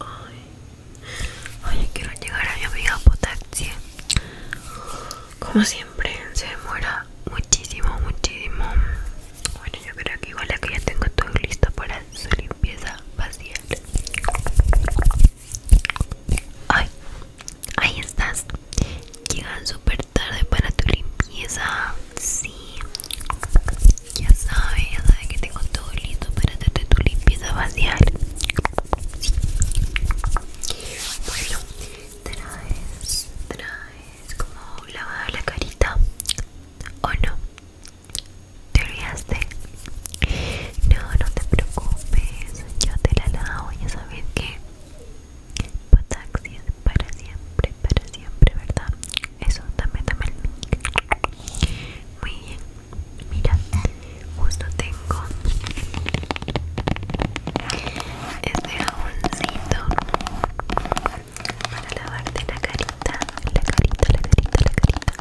Ay, quiero llegar a mi amiga Potaxi. Como siempre, se demora muchísimo, muchísimo. Bueno, yo creo que igual que ya tengo todo listo para su limpieza facial. Ay, ahí estás. Llegan súper tarde para tu limpieza. Sí. Ya sabes, ya sabes que tengo todo listo para hacerte tu limpieza facial. Bueno, traes, traes como lavada la carita. ¿O no? ¿Te olvidaste? No, no te preocupes. Yo te la lavo, ya sabes que Pataxi para siempre, para siempre, ¿verdad? Eso, dame, dame el Muy bien. Mira, justo tengo este jaboncito para lavarte la carita, la carita, la carita, la carita.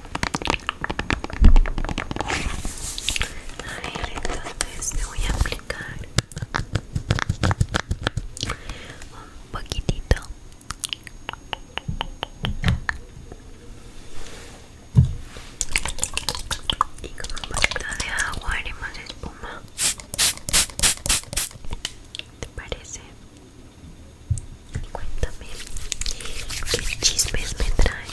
A ver, entonces te voy a aplicar un poquitito y con un poquito de agua haremos espuma. ¿Te parece? Cuéntame, ¿qué chismes me traes?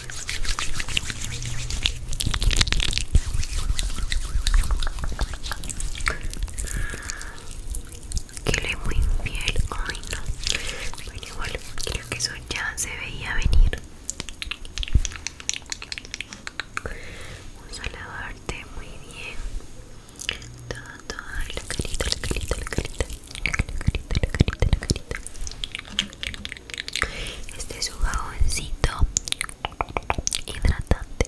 que le voy muy piel ay no Bueno igual, creo que eso ya se veía venir Vamos a lavarte muy bien Toda, toda la carita, la carita, la carita La carita, la carita Este es un jaboncito hidratante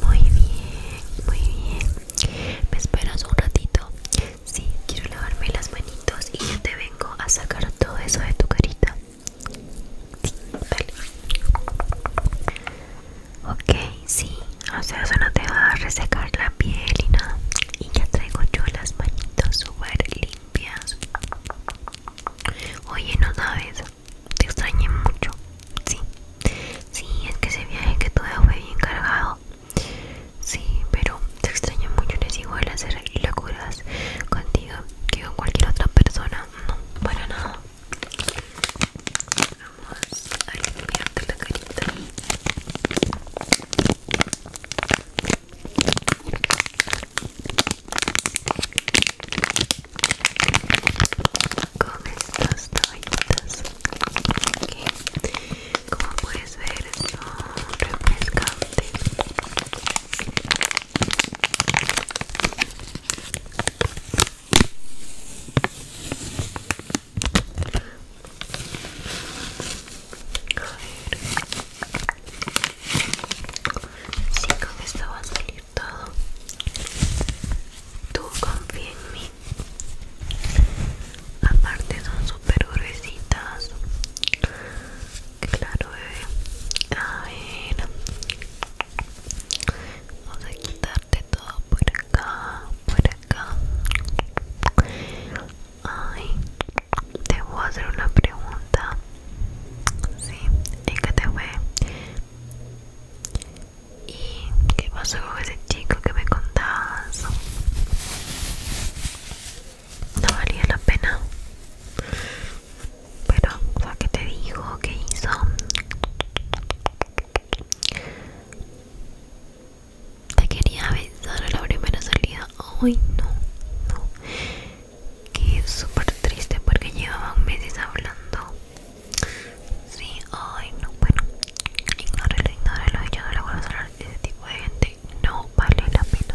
muy bien, muy bien. Me esperas un ratito. Sí, quiero lavarme las manitos y ya te vengo a sacar todo eso de tu carita. Ok, sí, o sea, eso no te va a resecar la piel y nada. Y ya traigo yo las manitos súper limpias. Oye, no sabes, te extrañé mucho. Sí, sí, es que ese viaje que tuve fue bien cargado. Sí, pero te extrañé mucho. es igual hacer locuras contigo que con cualquier otra persona. No, para nada. Vamos a limpiarte la carita. Con estas toallitas como puedes ver, son refrescantes. Sí, con esto va a salir todo. Tú confía en mí. Aparte son super gruesitas. Claro, bebé. Eh. A ver. Vamos a quitarte todo por acá, por acá. Ay, te voy a hacer una pregunta. Sí, que te fue? ¿Y qué pasó con ese chico que me contabas? No valía la pena pero o sea ¿qué te dijo ¿Qué hizo te quería avisar a la primera salida ay no no Qué súper triste porque llevaban meses hablando sí ay no bueno ignóralo ignóralo yo no le vuelvo a hablar de ese tipo de gente no vale la pena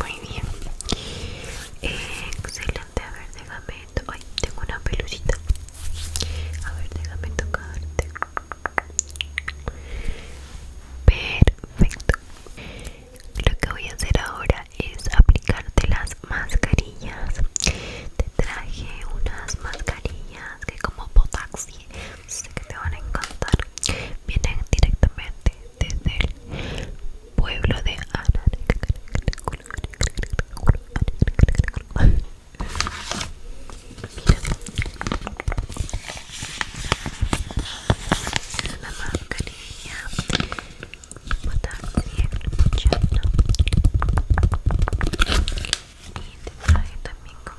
Muy bien. excelente. A ver, déjame. Ay, tengo una pelucita. A ver, déjame tocarte. Perfecto. Lo que voy a hacer ahora es aplicarte las mascarillas. Te traje unas mascarillas que como potaxi sé que te van a encantar. Vienen directamente desde el pueblo de Ana. Mira. Es una mascarilla pues botáctil, muchacho. Y te traje también con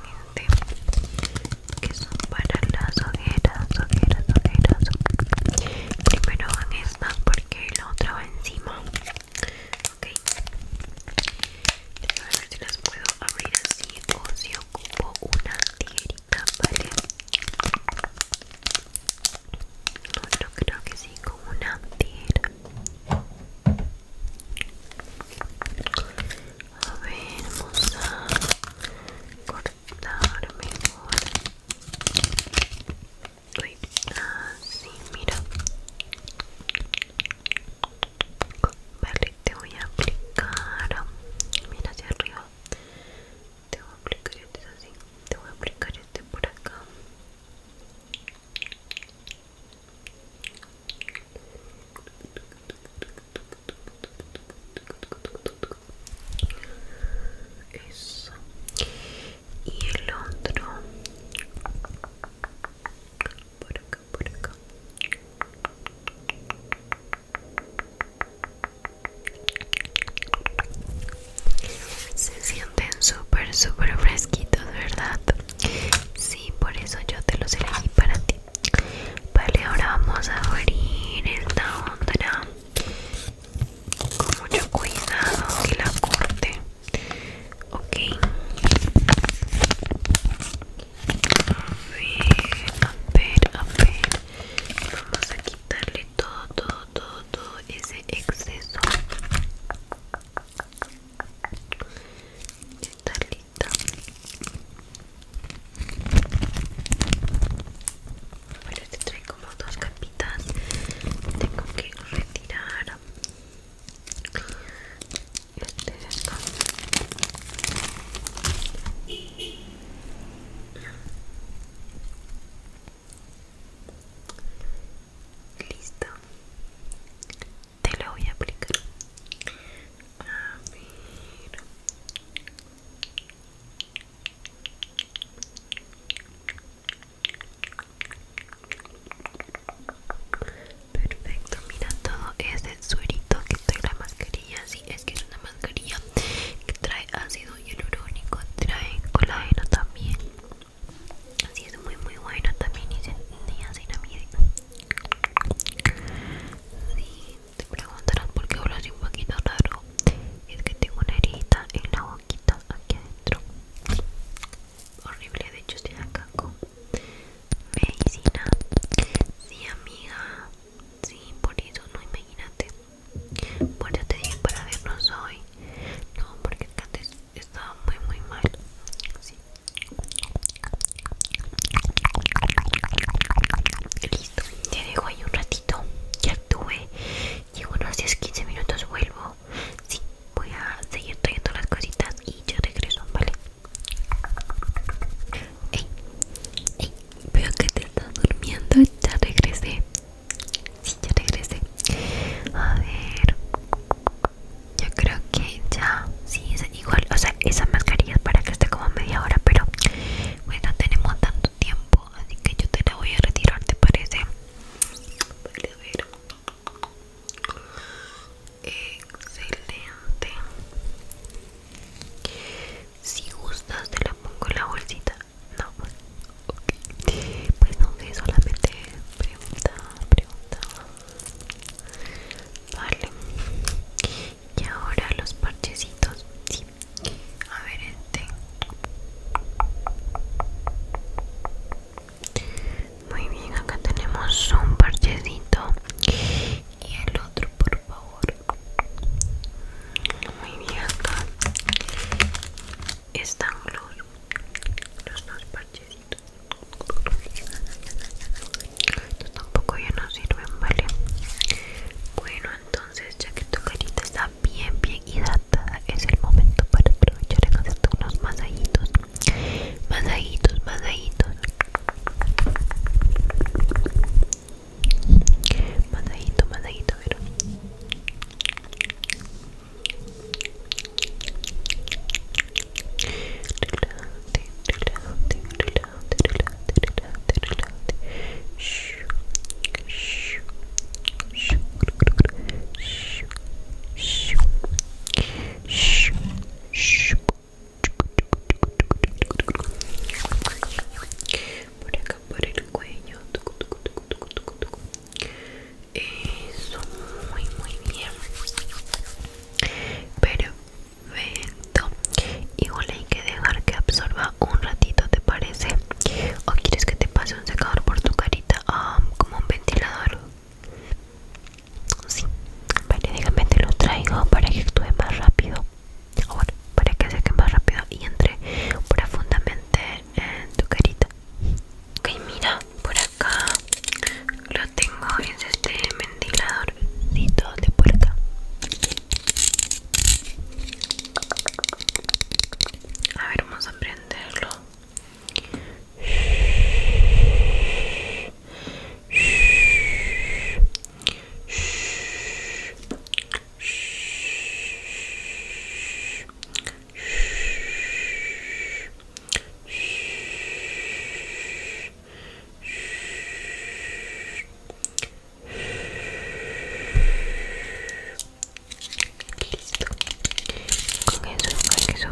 que son para las ojeras, ojeras, ojeras. Primero van estas porque la otra va encima. Ok. A ver si las puedo abrir así o si ocupo una tijerita, ¿vale? No, creo que sí, con una tierra a ver, vamos a cortar mejor. así, mira. Vale, te voy a aplicar. Mira hacia arriba. Te voy a aplicar este así. Te voy a aplicar este por acá. Eso. Y el otro. Por acá, por acá. Se sienten súper, súper fresquitos, ¿verdad? Sí, por eso yo te los elegí para ti. Vale, ahora vamos a abrir esta onda con mucho cuidado que la corte. Ok. A ver, a ver, a ver. Vamos a quitarle todo, todo, todo, ese exceso. Está lista. Bueno, este trae como dos capitas. Tengo que retirar este Listo te lo voy a aplicar a ver perfecto mira todo ese suerito que trae la mascarilla si es que es una mascarilla que trae ácido hialurónico trae colágeno también así es muy muy bueno también y niacinamide si, te preguntarás por qué así un poquito raro. Es que tengo una herida en la boquita aquí adentro. Horrible, de hecho estoy acá con medicina. Si amiga. Sí, por eso no imagínate. Porque ya te dije para vernos hoy. No, porque antes estaba muy, muy mal. Sí, Listo, te dejo ahí un ratito. Ya tuve llevo unos 10-15 minutos, vuelvo. Sí, voy a seguir trayendo las cositas y ya regreso, ¿vale? Ey, ey, veo que te estás durmiendo. Ya regresé. Sí, ya regresé. A ver yo creo que ya sí es igual o sea esa mascarilla es para que esté como media hora pero bueno no tenemos tanto tiempo así que yo te la voy a retirar te parece excelente si gustas te la pongo en la bolsita no ok pues no sé solamente pregunta pregunta Vale. Y ahora los parchecitos. Sí. A ver este. Muy bien, acá tenemos un parchecito. Y el otro, por favor. Muy bien, acá están los, los dos parchecitos tampoco ya no sirven, ¿vale? Bueno, entonces ya que tu carita está bien, bien hidratada, es el momento para aprovechar y hacerte unos masajitos. Masajitos, masajitos. Masajito, masajito, ¿verdad? Relájate, relájate, Por acá por el cuello. Eso, muy muy bien. Perfecto. Igual hay que dejar que absorba un ratito, ¿te parece? ¿O quieres que te pase un secador por tu carita? Um, como un ventilador. Sí. Vale, déjame te lo traigo para que actúe más rápido. Ahora para que seque más rápido y entre profundamente en tu carita. Ok, mira, por aquí acá lo tengo es este ventiladorcito de puerta a ver vamos a prenderlo Listo. Con eso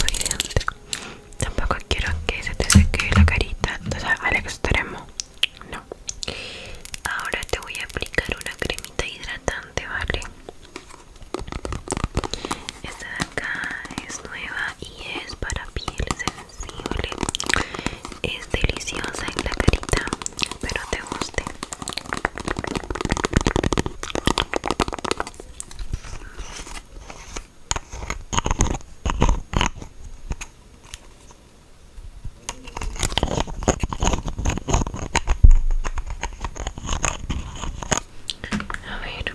Tampoco quiero que se te seque la carita, o extremo. No. Ahora te voy a aplicar una cremita hidratante, ¿vale? Esta de acá es nueva y es para piel sensible. Es deliciosa en la carita, pero te guste. A ver,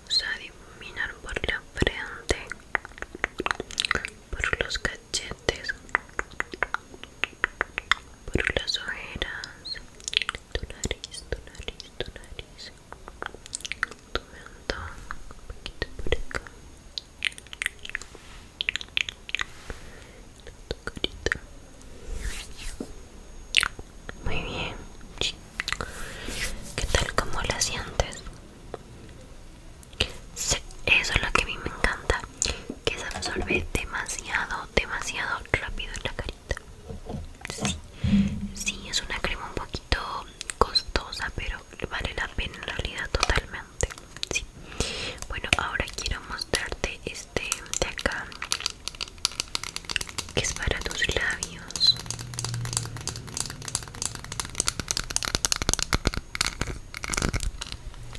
vamos a difuminar por la frente por los cachetes por las ojeras tu nariz, tu nariz, tu nariz tu mentón un poquito por acá tu carita muy bien, chicos ¿Qué tal como la sientes? eso es lo que a mí me encanta que se absorbe demasiado demasiado rápido en la carita sí, sí es una crema un poquito costosa pero vale la pena en realidad totalmente bueno ahora quiero mostrarte este de acá que es para tus labios.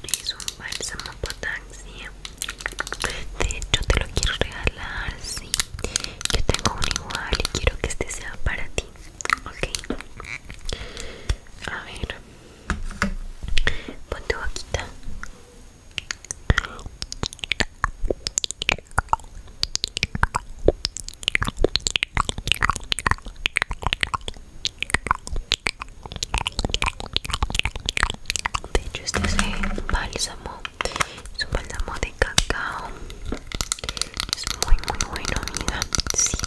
Es un bálsamo potaxia. De hecho te lo quiero regalar, sí. Yo tengo un igual y quiero que este sea para ti. Ok. A ver. Ponte boquita. De hecho este es el bálsamo Es un bálsamo de cacao Es muy muy bueno amiga Sí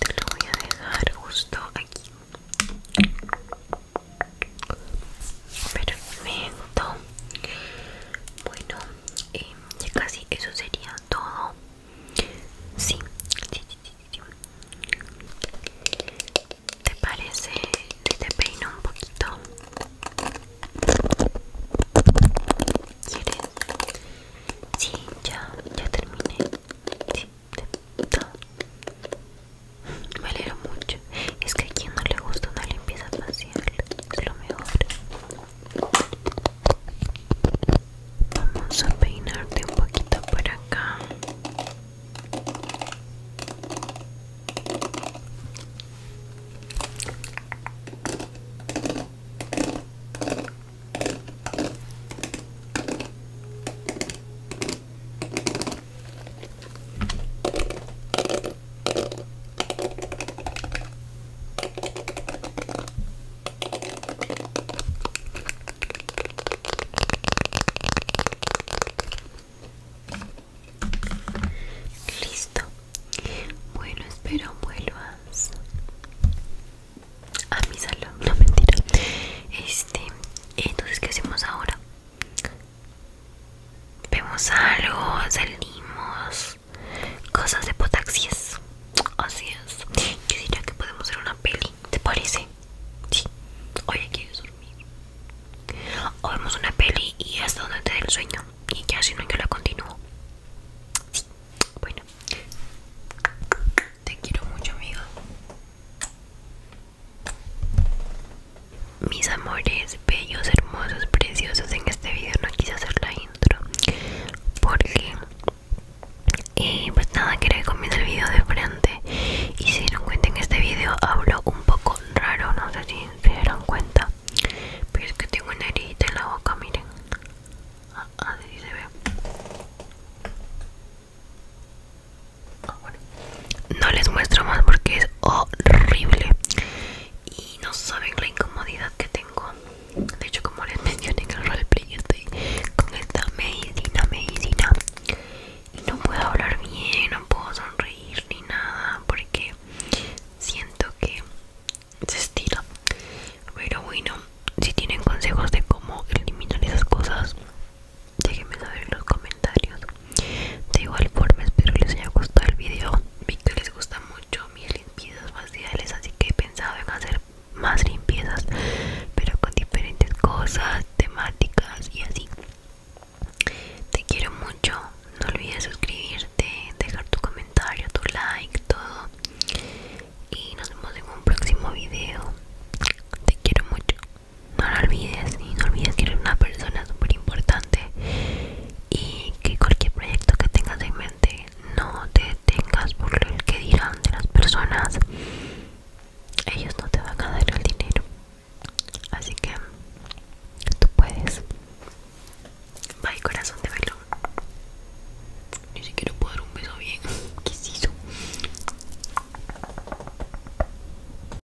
Te lo voy a dejar justo aquí Perfecto Bueno eh, y casi eso sería todo sí, ¿Te parece si te peino un poquito? ¿Quieres? Sí, ya, ya terminé. Me alegro mucho. Es que a quien no le gusta una limpieza facial, es lo mejor. Vamos a peinarte un poquito por acá. Listo. Bueno, espero vuelvas a mi salón. No mentira. Este, entonces, ¿qué hacemos ahora? Vemos algo, salimos. Cosas de potaxies. Así es. Yo diría que podemos hacer una peli. ¿Te parece? Sí. Oye, ¿quieres dormir? O vemos una peli y hasta donde te dé el sueño. Y ya si no, yo la continúo. Sí. Bueno. Te quiero mucho, amiga. Mis amores, bellos, hermosos, preciosos, en este video no quise hacer la intro porque, y eh, pues nada, quería que comience el video de frente. Y si dieron cuenta, en este video hablo un poco raro, no sé si se dieron cuenta, pero es que tengo una herida en la boca, miren. Ah, ah, así se ve. Ah, no les muestro más porque es horrible y no saben la incomodidad que tengo de hecho como les mencioné en el roleplay estoy con esta medicina medicina y no puedo hablar bien no puedo sonreír ni nada porque siento que se estira pero bueno si tienen consejos de cómo eliminar esas cosas déjenme saber en los comentarios de igual forma espero les haya gustado el video Vi que les gusta mucho mis limpiezas faciales Así que he pensado en hacer más limpiezas Pero con diferentes cosas, temáticas y así Te quiero mucho No olvides suscribirte, dejar tu comentario, tu like, todo Y nos vemos en un próximo video Te quiero mucho no lo olvides y no olvides que eres una persona súper importante y que cualquier proyecto que tengas en mente no te detengas por el que dirán de las personas ellos no te van a dar el dinero así que tú puedes bye corazón de velo ni siquiera puedo dar un beso bien ¿qué